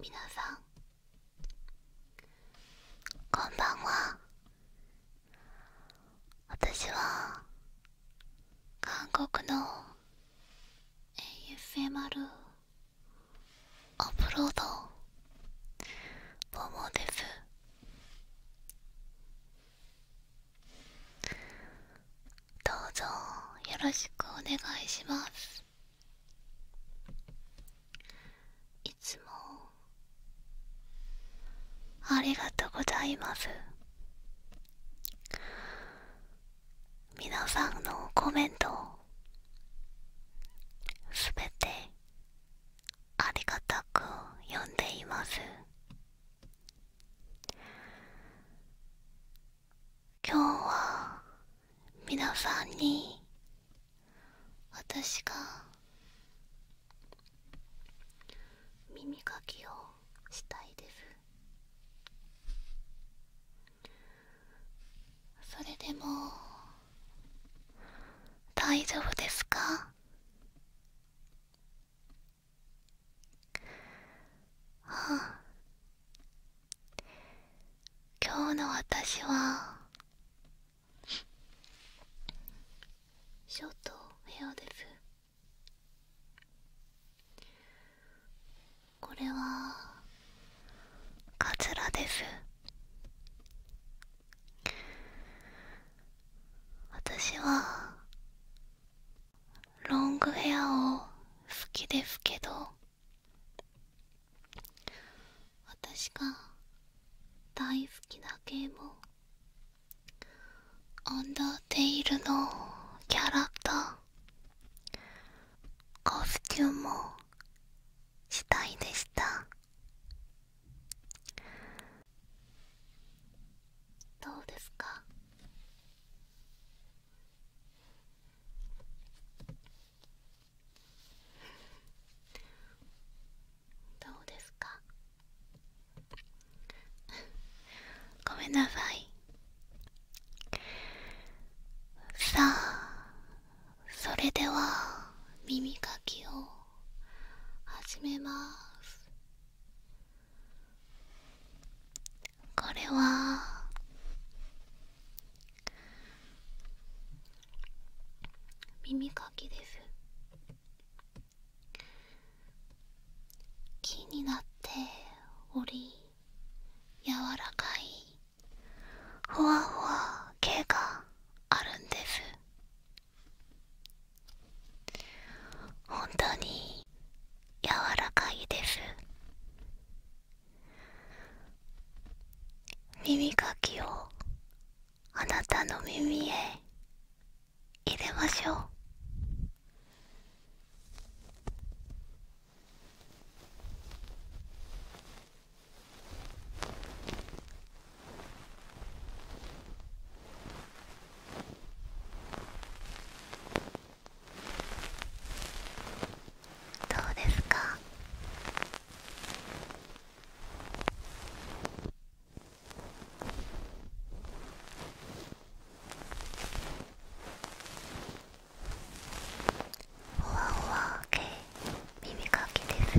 皆さんこんばんは私は韓国の ASMR アップロードボモですどうぞよろしくお願いしますいつもありがとうございます皆さんのコメントすべてありがたく読んでいます今日は皆さんに私が耳かきをしたいですそれでも大丈夫ですかはあ今日の私はショートヘアですこれはカツラです私はロングヘアを好きですけど私が大好きなゲーム「アンダーテイル」のキャラクターコスチュームをしたいでしたどうですかどうですかごめんなさいさあそれでは耳かきを始めますこれは耳かきです木になっており柔らかいふわふわ毛があるんです本当に柔らかいです耳かきをあなたの耳へ入れましょうどうですかほわほわ系耳かきです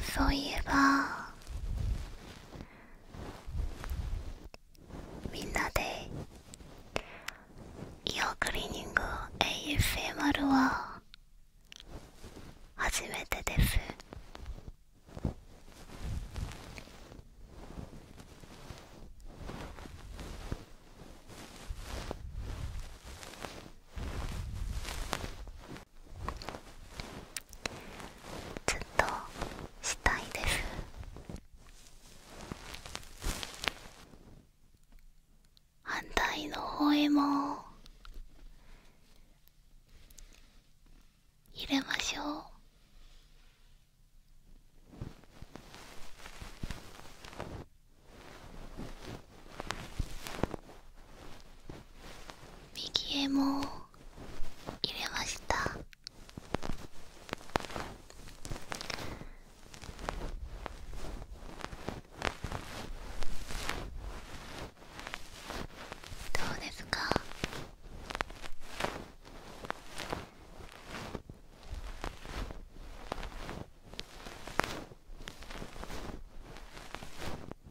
そういえばみんなでイオクリーニング ASMR は初めてですずっとしたいです反対の方へも入れましょう右へも入れましたどうですか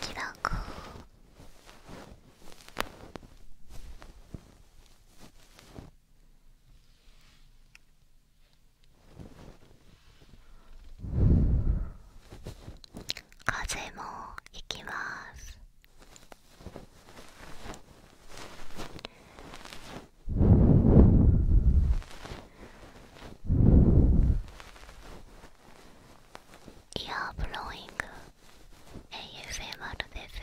きら風もいきますイヤーブローイング ASMR です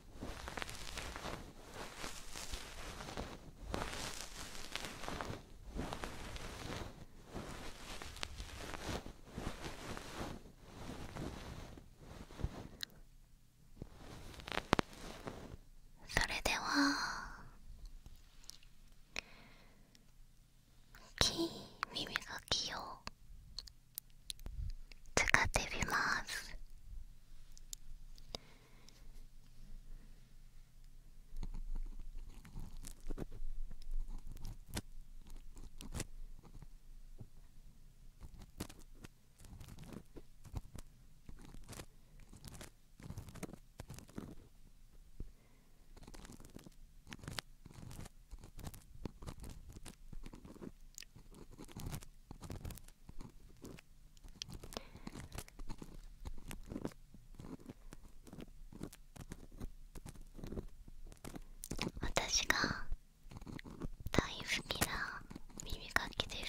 それでは大きい耳かきを使ってみます私が大好きな耳かきです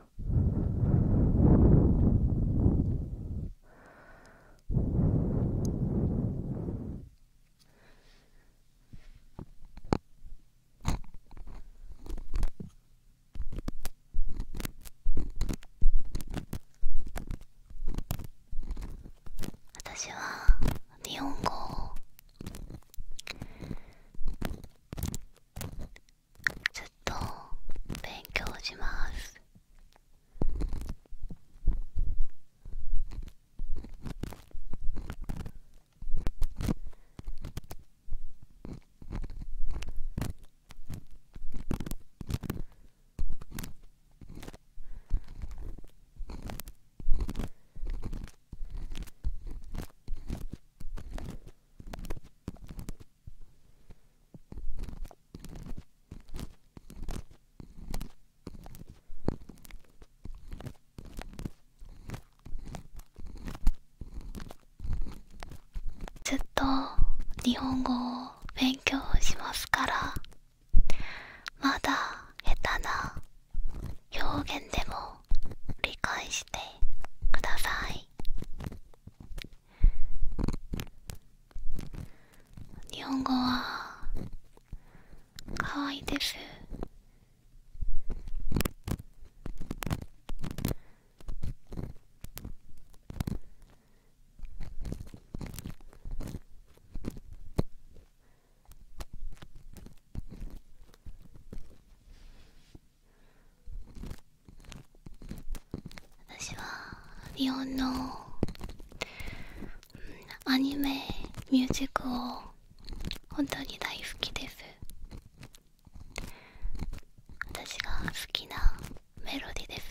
私は日本語をずっと勉強しますずっと日本語を勉強しますからまだ下手な表現でも理解してください日本語はかわいいです私は日本の、うん、アニメミュージックを本当に大好きです私が好きなメロディです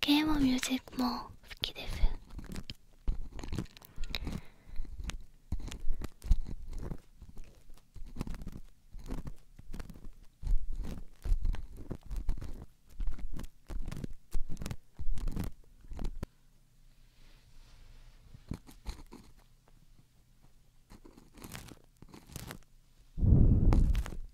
ゲームミュージックも好きです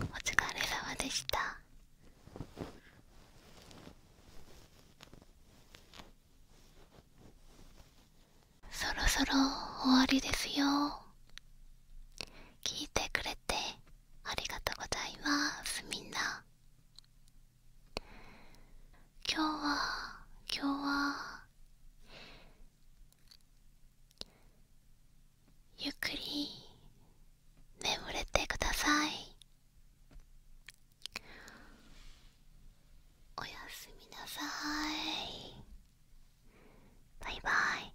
お疲れ様でしたそろそろ終わりですよ聞いてくれてありがとうございますみんな今日は今日はゆっくり眠れてくださいおやすみなさいバイバイ